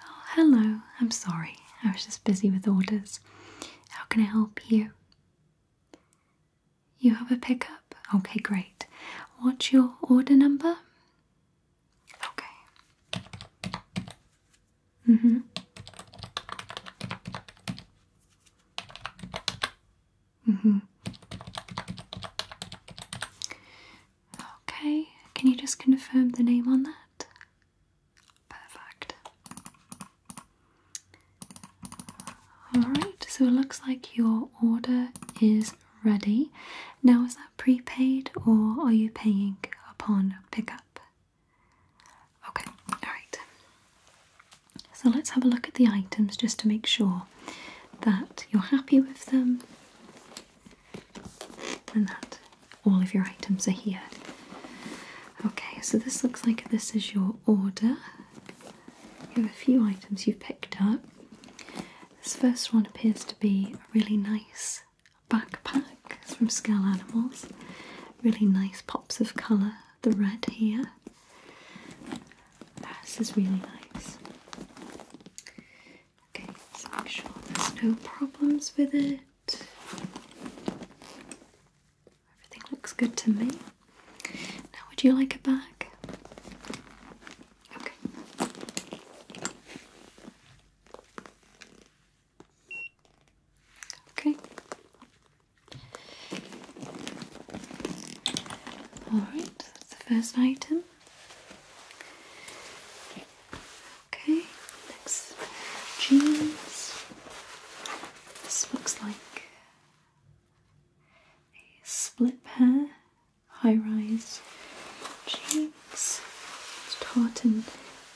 Oh, hello. I'm sorry. I was just busy with orders. How can I help you? You have a pickup? Okay, great. What's your order number? Okay. Mm-hmm. Mm-hmm. Okay, can you just confirm the name on that? Perfect. Alright, so it looks like your order is ready. Now, is that prepaid or are you paying upon pickup? Okay, alright. So let's have a look at the items just to make sure that you're happy with them and that all of your items are here. Okay, so this looks like this is your order. You have a few items you've picked up. This first one appears to be really nice backpack from Scale Animals. Really nice pops of colour, the red here. This is really nice. Okay, so make sure there's no problems with it. Everything looks good to me. Now, would you like a back? Okay. Okay. Alright, that's the first item. Okay, next jeans. This looks like a split pair, high rise jeans legs, tartan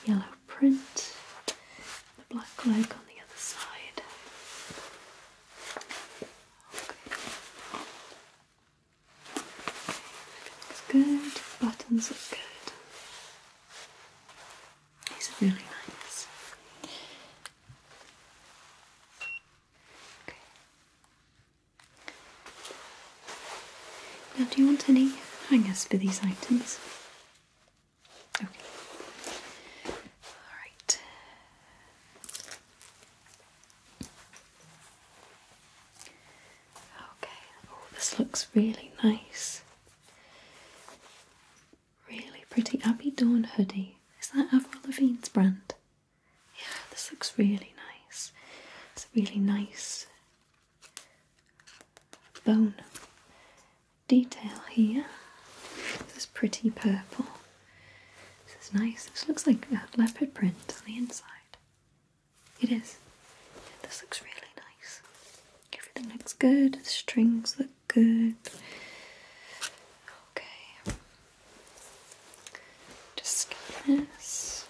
yellow print, the black leg on the other side. Okay. Everything's good, buttons look good. These are really nice. Okay. Now, do you want any hangers for these items? Okay. Alright. Okay, oh, this looks really nice. Really pretty Abbey Dawn hoodie. Is that Avril brand? Yeah, this looks really nice. It's a really nice bone detail here. This is pretty purple. This is nice. This looks like a leopard print on the inside. It is. This looks really nice. Everything looks good. The strings look good. Okay. Just scan this.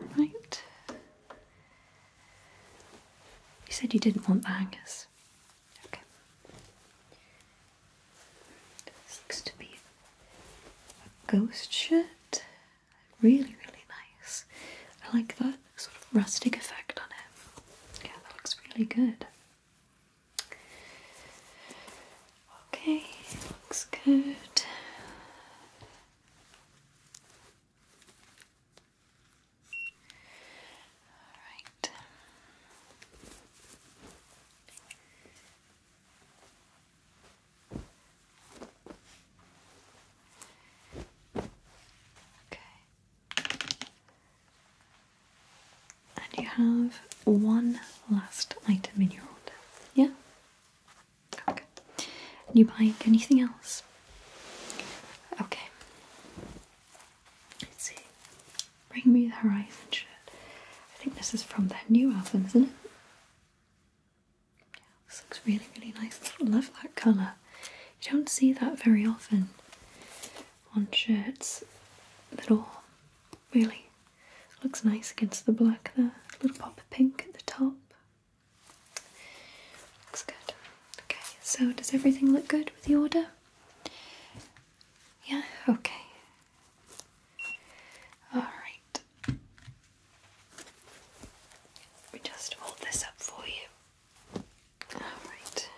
All right. You said you didn't want the hangers. Okay. This to be a ghost shirt. Really, really nice. I like that sort of rustic effect on it. Yeah, that looks really good. Okay, looks good. All right. Okay. And you have one last item in your order. Yeah? Okay. you buying anything else? Okay. Let's see. Bring me the Horizon shirt. I think this is from their new album, isn't it? This looks really, really nice. I love that colour. You don't see that very often on shirts at all, really. Looks nice against the black there. A little pop of pink at the top. Looks good. Okay, so does everything look good with the order? Yeah, okay. Alright, we just hold this up for you. Alright.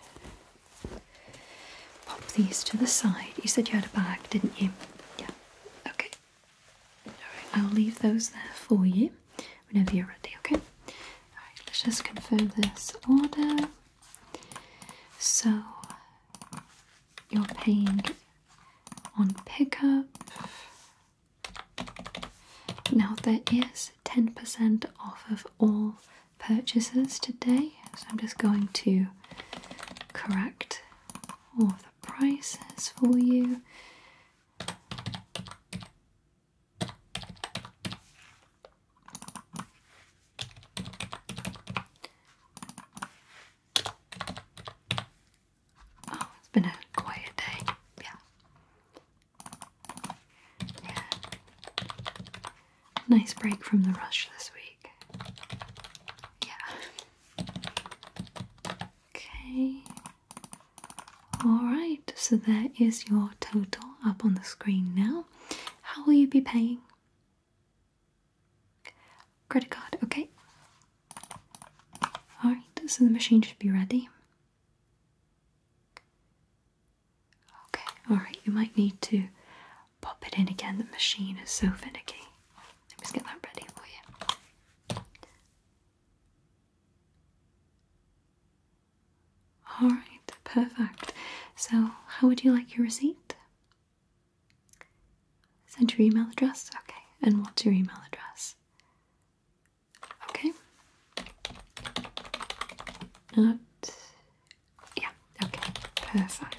Pop these to the side. You said you had a bag, didn't you? Yeah. Okay. Alright, I'll leave those there for you whenever you're ready, okay? Alright, let's just confirm this order. So, you're paying on pickup now, there is 10% off of all purchases today, so I'm just going to correct all of the prices for you. Oh, it's been a quiet day. Yeah. Yeah. Nice break from the rush this week. Yeah. Okay. Alright, so there is your total up on the screen now. How will you be paying? Credit card, okay. Alright, so the machine should be ready. Okay, alright, you might need to pop it in again. The machine is so finicky. Let me just get that ready for you. Alright, perfect. So, how would you like your receipt? Send your email address? Okay, and what's your email address? Okay. Out. Yeah, okay, perfect.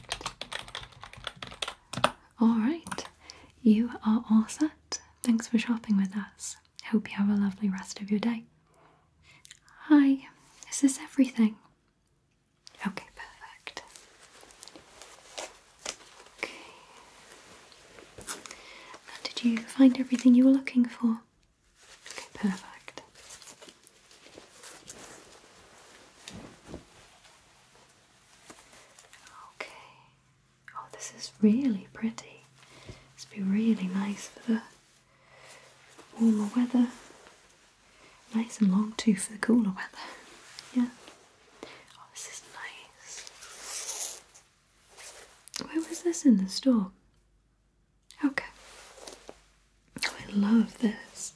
Alright, you are all set. Thanks for shopping with us. Hope you have a lovely rest of your day. Hi, is this everything? Okay, perfect did you find everything you were looking for? Okay, perfect. Okay. Oh, this is really pretty. This would be really nice for the warmer weather. Nice and long too for the cooler weather. Yeah. Oh, this is nice. Where was this in the store? Okay. Oh, I love this.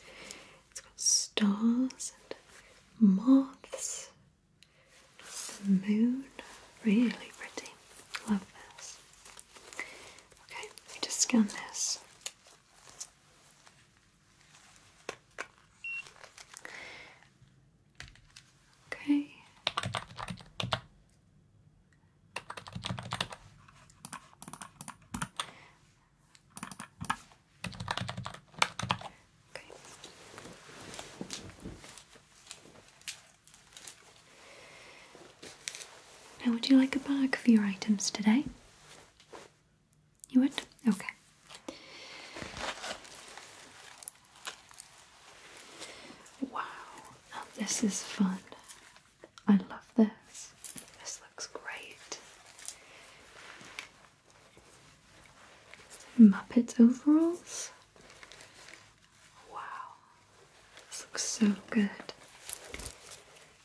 It's got stars and moths, the moon. Really pretty. Love this. Okay, let me just scan this. Okay. Okay. Now, would you like a bag for your items today? You would? Okay. Wow, oh, this is fun. I love this. This looks great. Muppets overalls. Wow, this looks so good.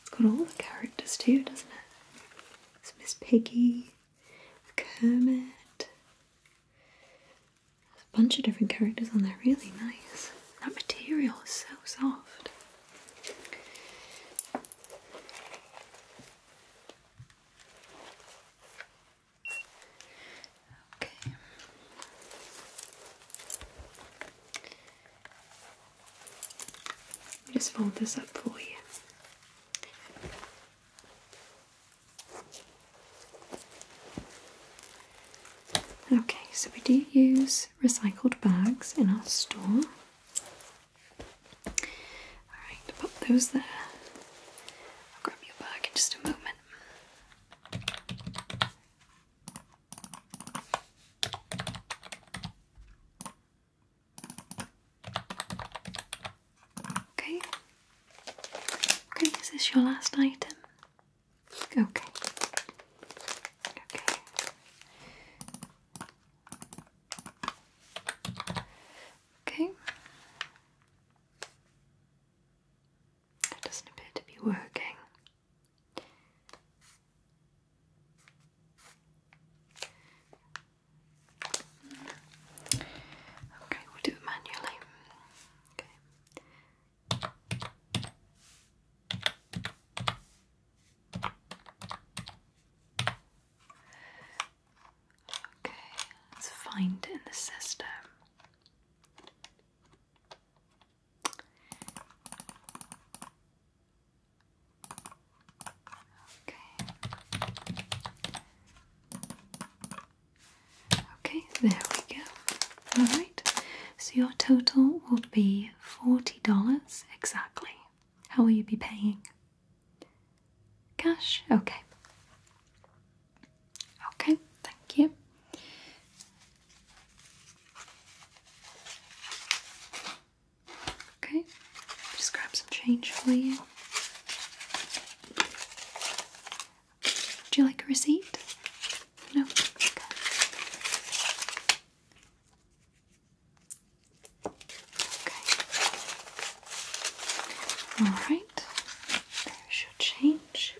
It's got all the characters too, doesn't it? It's Miss Piggy, Kermit, there's a bunch of different characters on there, really nice. That material is so soft. Okay. Let me just fold this up for you. Okay, so we do use recycled bags in our store. Alright, pop those there. I'll grab your bag in just a moment. Okay. Okay, is this your last item? Okay. Okay. Okay. That doesn't appear to be working. Okay, we'll do it manually. Okay. let's find it in the system. Okay. Okay, there we go. Alright, so your total will be $40 exactly. How will you be paying? Cash? Okay. Okay, thank you. Okay, just grab some change for you. Would you like a receipt? No? Okay. Okay. Alright. There's change.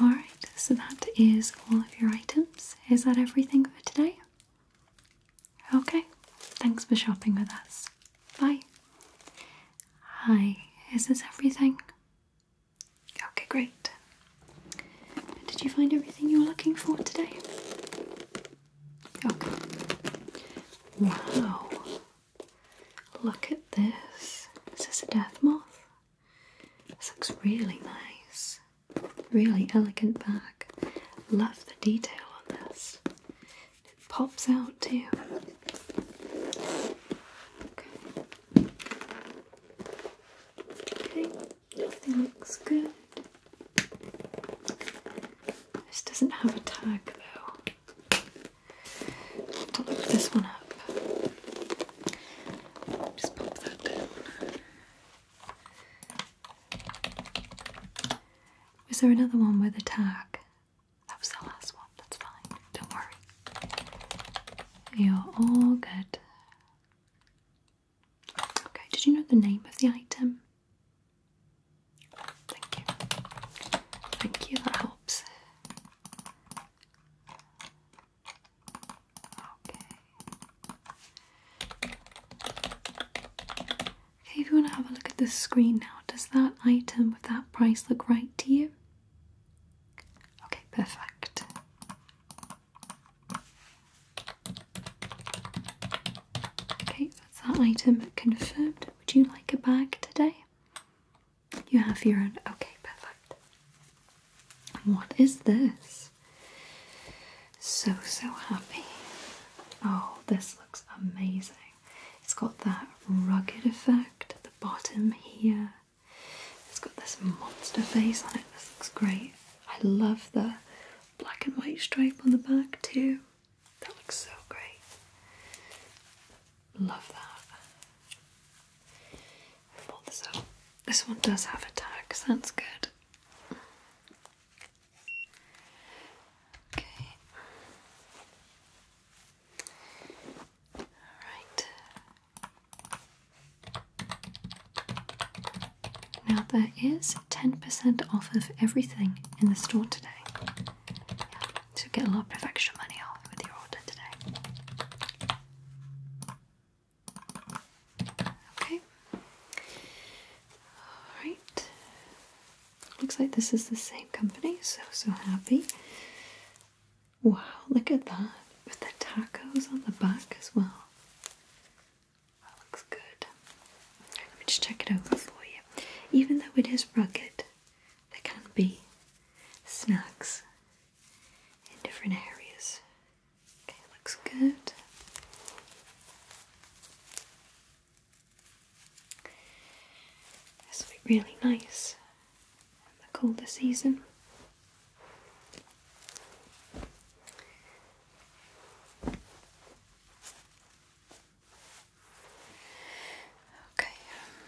All right. so that is all of your items. Is that everything for today? Okay, thanks for shopping with us. Bye. Hi, is this everything? Okay, great. Did you find everything you were looking for today? Okay. Wow. Look at this. Is this a death moth? This looks really nice. Really elegant bag. Love the detail on this. It pops out too. Okay. everything looks good. This doesn't have a tag though. to look this one up. Just pop that down. Was there another one with a tag? That was the last one, that's fine, don't worry. You're all good. Okay, did you know the name of the item? Thank you. Thank you, that helps. Okay. Okay, if you want to have a look at the screen now, does that item with that price look right to you? Okay, perfect. Okay, that's that item confirmed. Would you like a bag today? You have your own. Okay, perfect. What is this? So, so happy. Oh, this looks amazing. It's got that rugged effect at the bottom here. It's got this monster face on it. This looks great. I love the black and white stripe on the back too. That looks so great. Love that. Fold this up. This one does have a tag, so that's good. Okay. All right. Now there is 10% off of everything in the store today. Yeah, so get a lot of extra money off with your order today. Okay. Alright. Looks like this is the same company. So, so happy. Wow, look at that. With the tacos on the back as well. That looks good. let me just check it over for you. Even though it is rugged, there can be snacks in different areas. Okay, looks good. This will be really nice in the colder season. Okay. Um,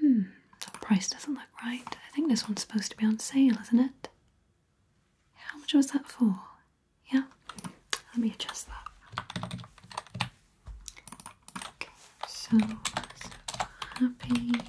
Hmm, price doesn't look right. I think this one's supposed to be on sale, isn't it? How much was that for? Yeah, let me adjust that. Okay, so happy. Okay.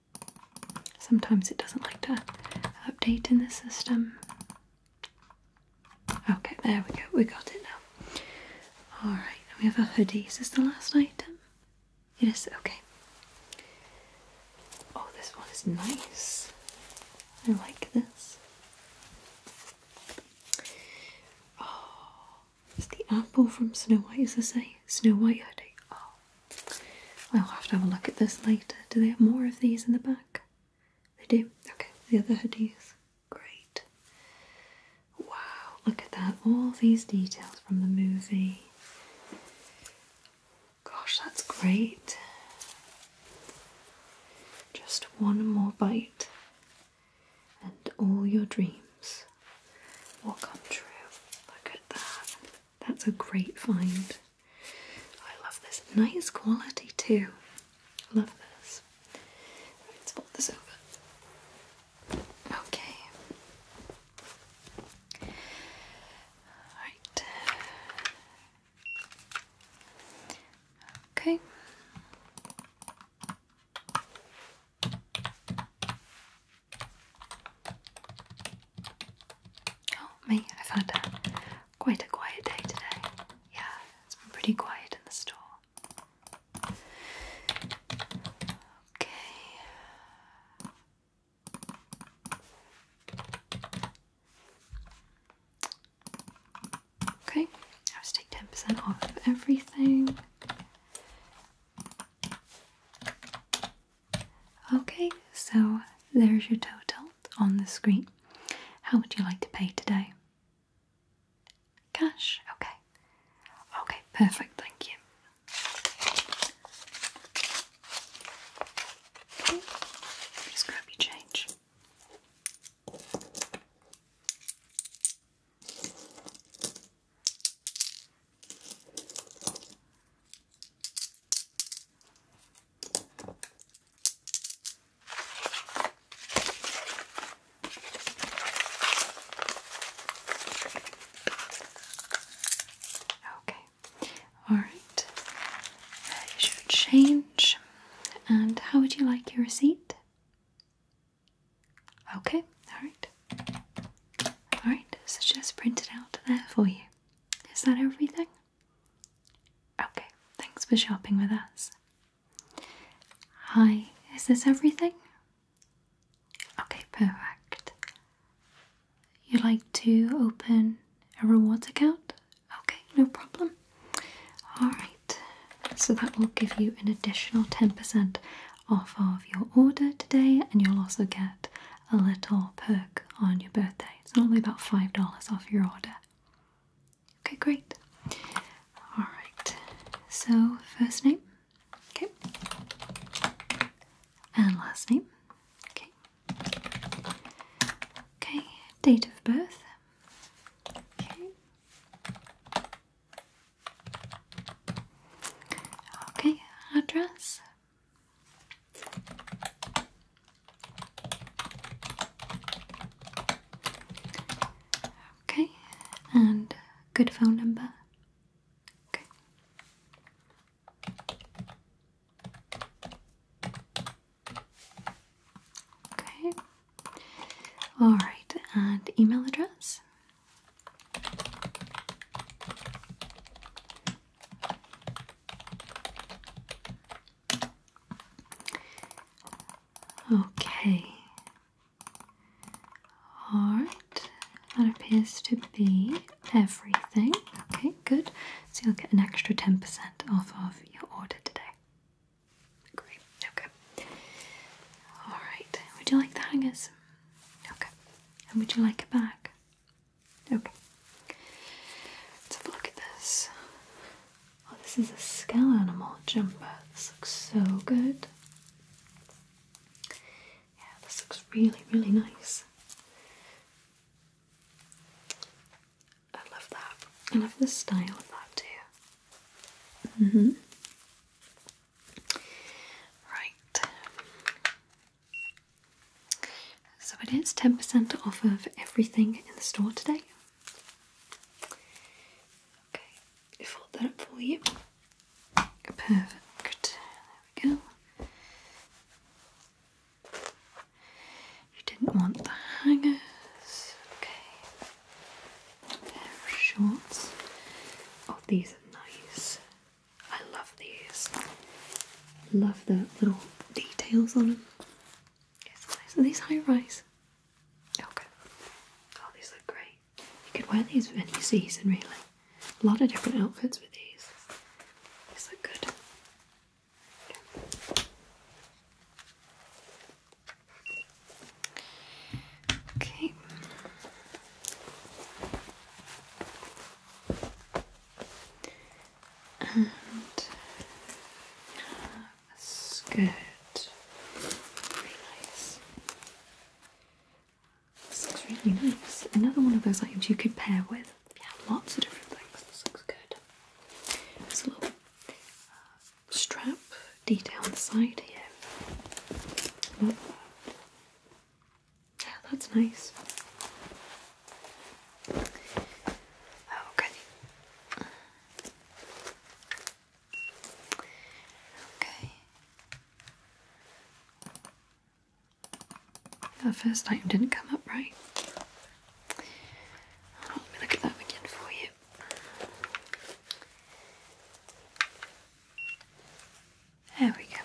Sometimes it doesn't like to update in the system. Okay, there we go. We got it now. Alright, we have our hoodies. Is the last item? Yes. Okay. Oh, this one is nice. I like this. Oh, is the apple from Snow White. Is this a Snow White hoodie? Oh, I'll have to have a look at this later. Do they have more of these in the back? They do. Okay, the other hoodies. Great. Wow, look at that. All these details from the movie. Gosh, that's great. Just one more bite, and all your dreams will come true. Look at that. That's a great find. I love this. Nice quality too. Love this. let's pop this over. Okay. Alright. Okay. Oh, me, i found a, quite a quiet day today. Yeah, it's been pretty quiet in the store. Okay. Okay, I'll just take 10% off of everything. Okay, so there's your total on the screen. How would you like to pay today? Cash? Okay. Okay, perfect, thank you. just grab your change. Okay, all right. Here's your change. And how would you like your receipt? Okay, all right. All right, so just print it out there for you. Is that everything? Okay, thanks for shopping with us. Hi, is this everything? Okay, perfect. You'd like to open a rewards account? Okay, no problem. Alright, so that will give you an additional 10% off of your order today, and you'll also get a little perk on your birthday. It's normally about $5 off your order. Okay, great. Alright, so first name, okay, and last name, okay, okay, date of birth, okay, okay, address, Okay, and good phone number. Okay. Okay. All right, and email address. Okay. Alright, that appears to be everything. Okay, good. So you'll get an extra 10% off of your order today. Great, okay. Alright, would you like the hangers? Okay. And would you like a bag? Okay. Let's have a look at this. Oh, this is a scale animal jumper. This looks so good. Yeah, this looks really, really nice. I love that. I love the style of that too. Mm hmm Right. So it is 10% off of everything in the store today. Okay, I've fold that up for you. Perfect. There we go. You didn't want the hangers. Okay. There are shorts. Oh, these are nice. I love these. Love the little details on them. It's these high rise? Okay. Oh, these look great. You could wear these with any season, really. A lot of different outfits with these. These look good. Okay and a skirt. Very nice. looks really nice. Another one of those items you could pair with. Yeah, lots of different things. This looks good. There's a little uh, strap detail on the side here. Yeah, that's nice. Okay. Oh, okay. That first time didn't come up right. Oh, let me look at that again for you. There we go.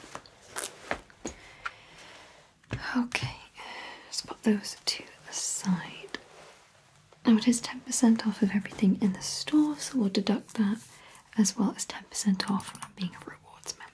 Okay, just put those to the side. Now it is 10% off of everything in the store, so we'll deduct that as well as 10% off from being a rewards member.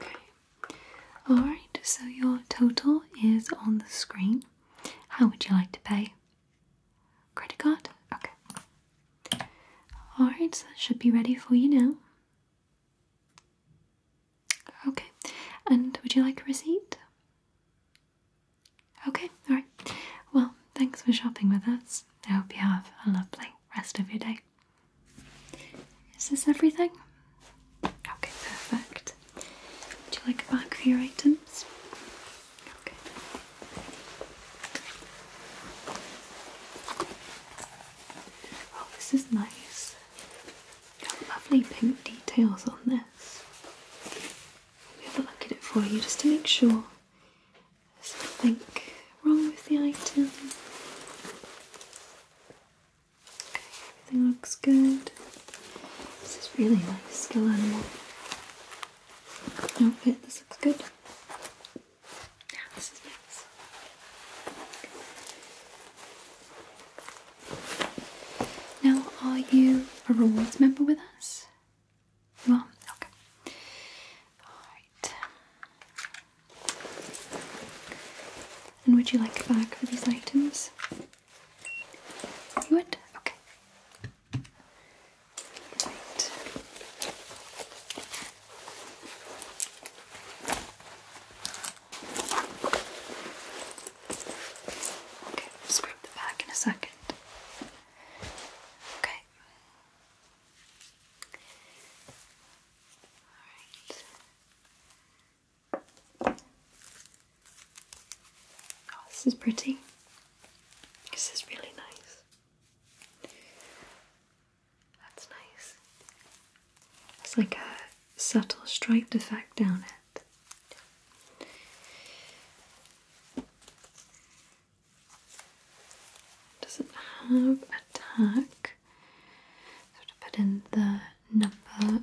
Okay. Alright, so your total is on the screen. How would you like to pay? Credit card? Okay. Alright, so that should be ready for you now. Okay, and would you like a receipt? Okay, alright. Well, thanks for shopping with us. I hope you have a lovely rest of your day. Is this everything? Okay, perfect. Would you like a bag for your items? Okay. Oh, this is nice lovely pink details on this. We have a look at it for you just to make sure there's nothing wrong with the item. Okay, everything looks good. This is really nice still animal. Outfit, this looks good. Yeah, this is nice. Now, are you a rewards member with us? You Okay. Alright. And would you like a bag for these items? You would? Okay. Right. Okay, we the back in a second. Okay. All right. Oh, this is pretty. This is really nice. That's nice. It's like a subtle stripe effect down it. Doesn't have a tag, so to put in the number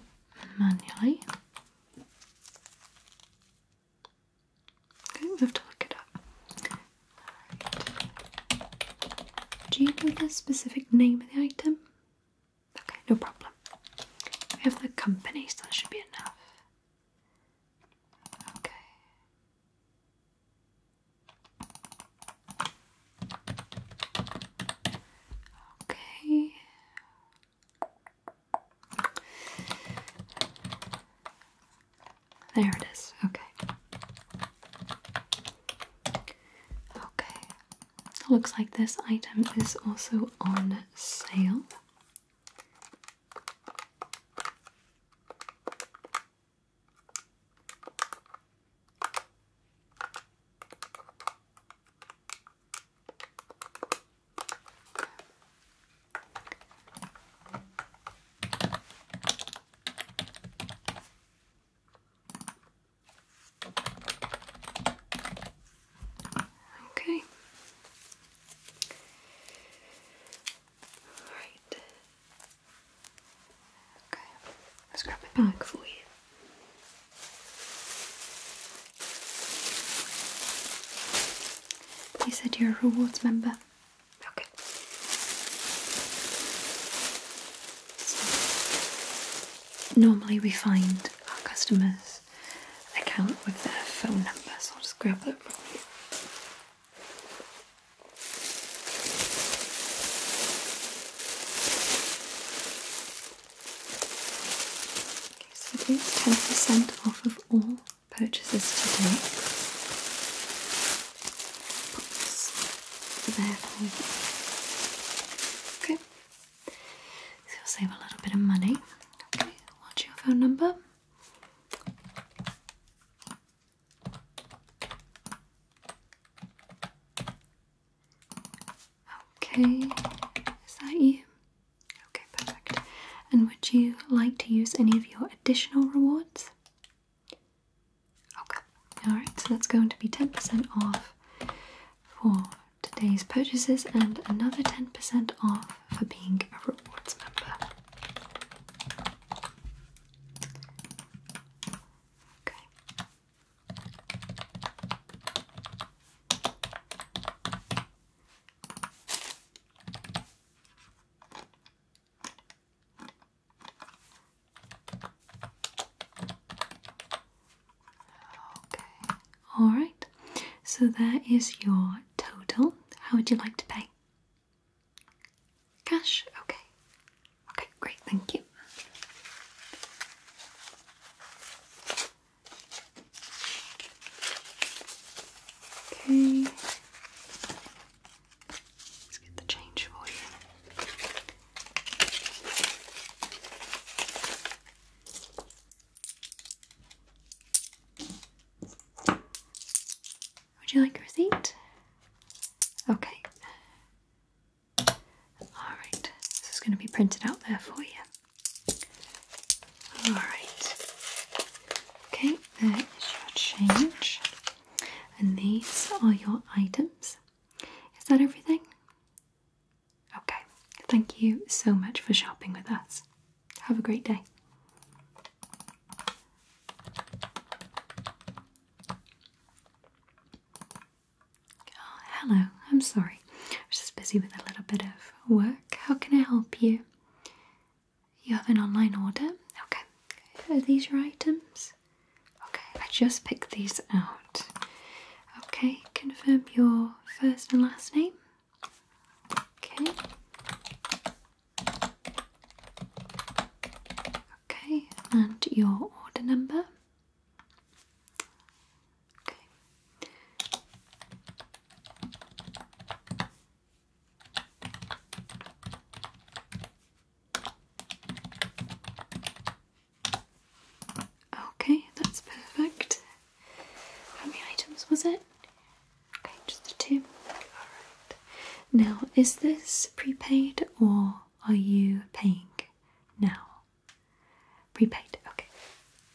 manually. Okay, we have to look it up. Do you know the specific name of the item? Okay, no problem. We have the company, so that should be enough. Okay. Okay. There it is. Okay. Okay. Looks like this item is also on sale. Okay. All right. Okay. Let's grab my bag for you. You said you're a rewards member. Okay normally we find our customers' account with their phone number, so I'll just grab that from you. Okay, so it is ten percent off of all purchases today. Put this there for you. Okay, so you'll save a little bit of money. Okay, what's your phone number? Okay, is that you? Okay, perfect. And would you like to use any of your additional rewards? Okay, alright, so that's going to be 10% off for today's purchases and another 10% off for being a rewards member. Okay, all right. So that is your total. How would you like to pay? Cash? Okay. Okay, great, thank you. Okay. Let's get the change for you. Would you like a receipt? Okay. Alright, this is going to be printed out there for you. Alright. Okay, there is your change. And these are your items. Is that everything? Okay, thank you so much for shopping with us. Have a great day. Oh, hello, I'm sorry. I was just busy with a little bit of work. How can I help you? You have an online order? Okay. Are these your items? Okay, I just picked these out. Okay, confirm your first and last name. Okay. Okay, and your order number. Okay. Okay, that's perfect. How many items was it? Okay, just the two. Alright. Now, is this prepaid or are you paying now? Prepaid, okay.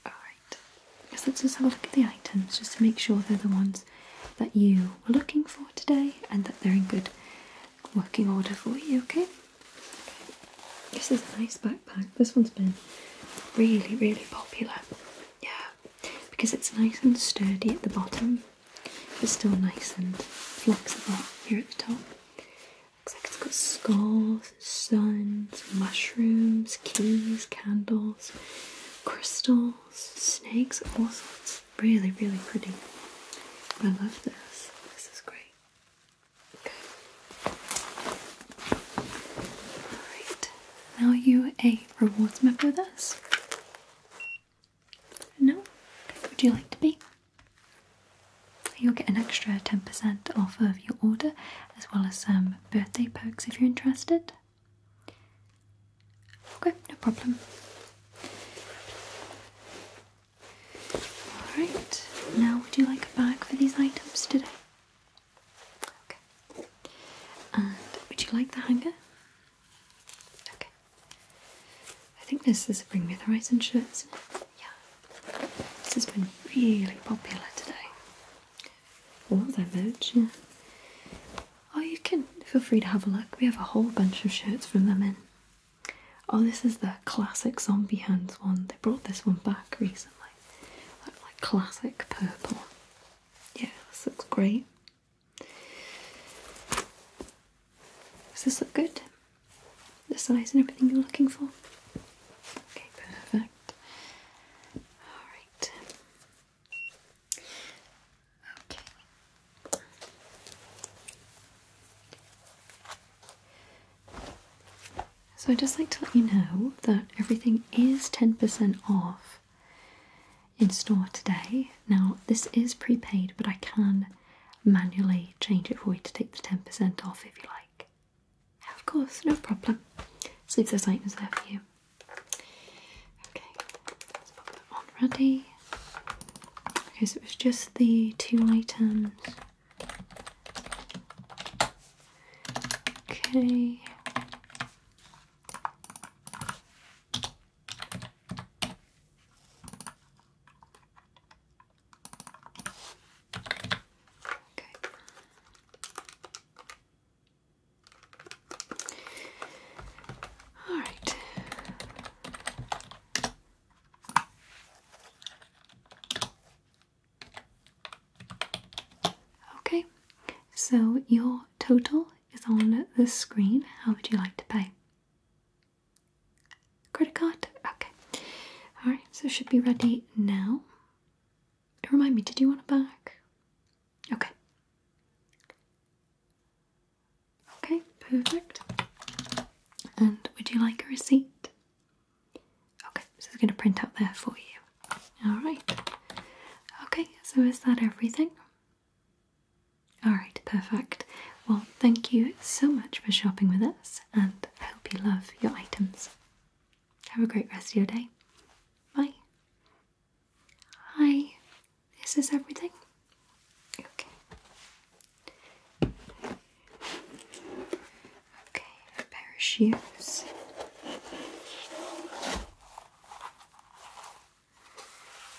Alright. let's just have a look at the items just to make sure they're the ones that you were looking for today and that they're in good working order for you, okay? This is a nice backpack. This one's been really, really popular. Yeah, because it's nice and sturdy at the bottom, but still nice and flexible here at the top. Looks like it's got skulls, suns, mushrooms, keys, candles, crystals, snakes, all sorts. Really, really pretty. I love this. This is great. Okay. Alright. Now you a rewards member with us? No? Would you like to be? You'll get an extra 10% off of your order as well as some birthday perks if you're interested. Okay, no problem. Alright, now would you like a bag for these items today? Okay. And would you like the hanger? Okay. I think this is a Bring Me the Horizon shirt, is Yeah. This has been really popular today. Oh, All of merch, Oh, you can feel free to have a look. We have a whole bunch of shirts from them in Oh, this is the classic zombie hands one. They brought this one back recently. like classic purple. Yeah, this looks great. Does this look good? The size and everything you're looking for? Okay, perfect. Alright. Okay. So I'd just like to let you know that everything is 10% off in store today. Now, this is prepaid, but I can manually change it for you to take the 10% off if you like. Of course, no problem. let items there for you. Okay, let's pop that on ready. Okay, so it was just the two items. Okay. Okay. All right. Okay, so your total is on the screen. How would you like to pay? Credit card? Okay. Alright, so should be ready now. Remind me, did you want it back? Okay. Okay, perfect. And would you like a receipt? Okay, so it's going to print out there for you. Alright. Okay, so is that everything? Alright, perfect. Well, thank you so much for shopping with us and I hope you love your items. Have a great rest of your day. Bye. Hi, This is everything? Okay. Okay, a pair of shoes.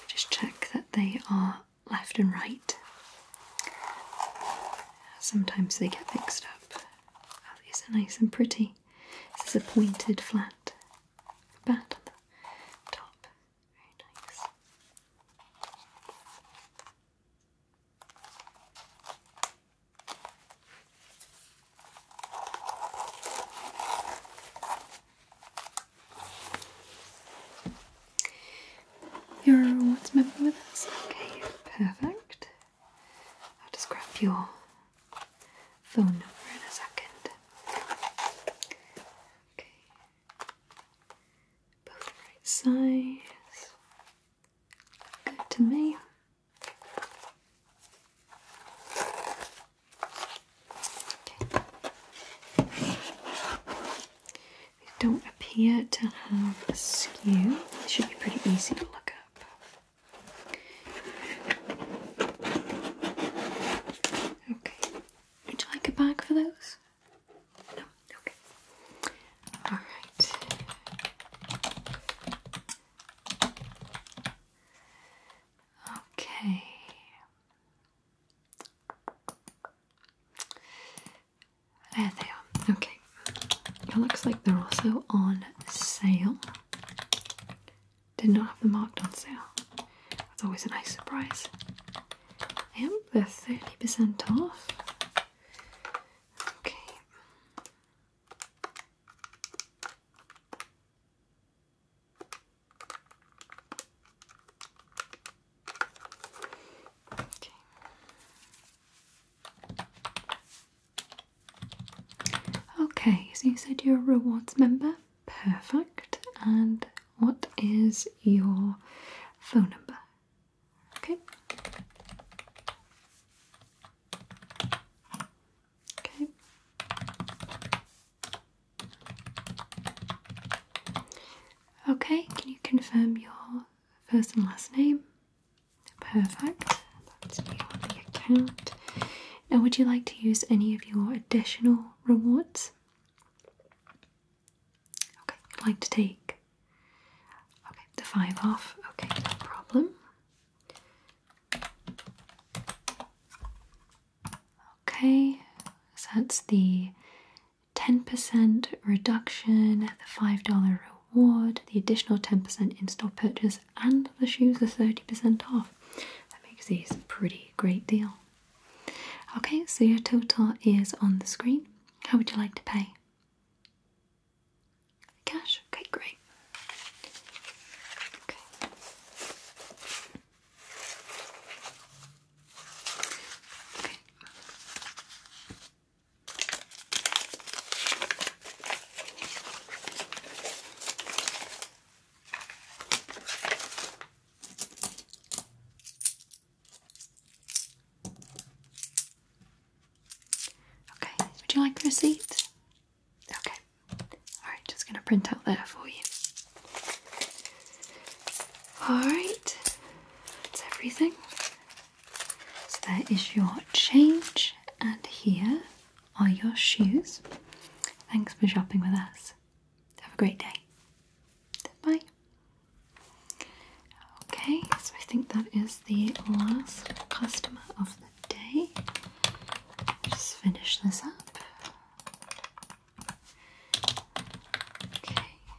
Just check that they are left and right. Sometimes they get mixed up. these are nice and pretty. This is a pointed flat bat on the top. Very you're a rewards member with us? Okay, perfect. I'll just grab your phone number in a second. Okay both right size. Good to me. don't appear to have a skew. should be pretty easy to look up. Okay. Would you like a bag for those? Okay. Alright. Okay. There they are. Okay. It looks like they're also on sale. Did not have them marked on sale. That's always a nice surprise. Yep, they're 30% off. Okay. Okay. so you said you're a rewards member. Perfect. And what is your phone number? Okay. Okay. Okay, can you confirm your first and last name? Perfect. That's you account. Now, would you like to use any of your additional rewards? Okay, you'd like to take okay, the five off. Okay, no problem. Okay, so that's the 10% reduction, the $5 reward, the additional 10% in store purchase, and the shoes are 30% off. That makes these a pretty great deal. Okay, so your total is on the screen. How would you like to pay? Cash? Okay, great. Okay, would you like the receipt? Okay. Alright, just gonna print out there for you. Alright, that's everything. So there is your change, and here are your shoes. Thanks for shopping with us. Have a great day. Bye. Okay, so I think that is the last customer of the day. Just finish this up. Okay.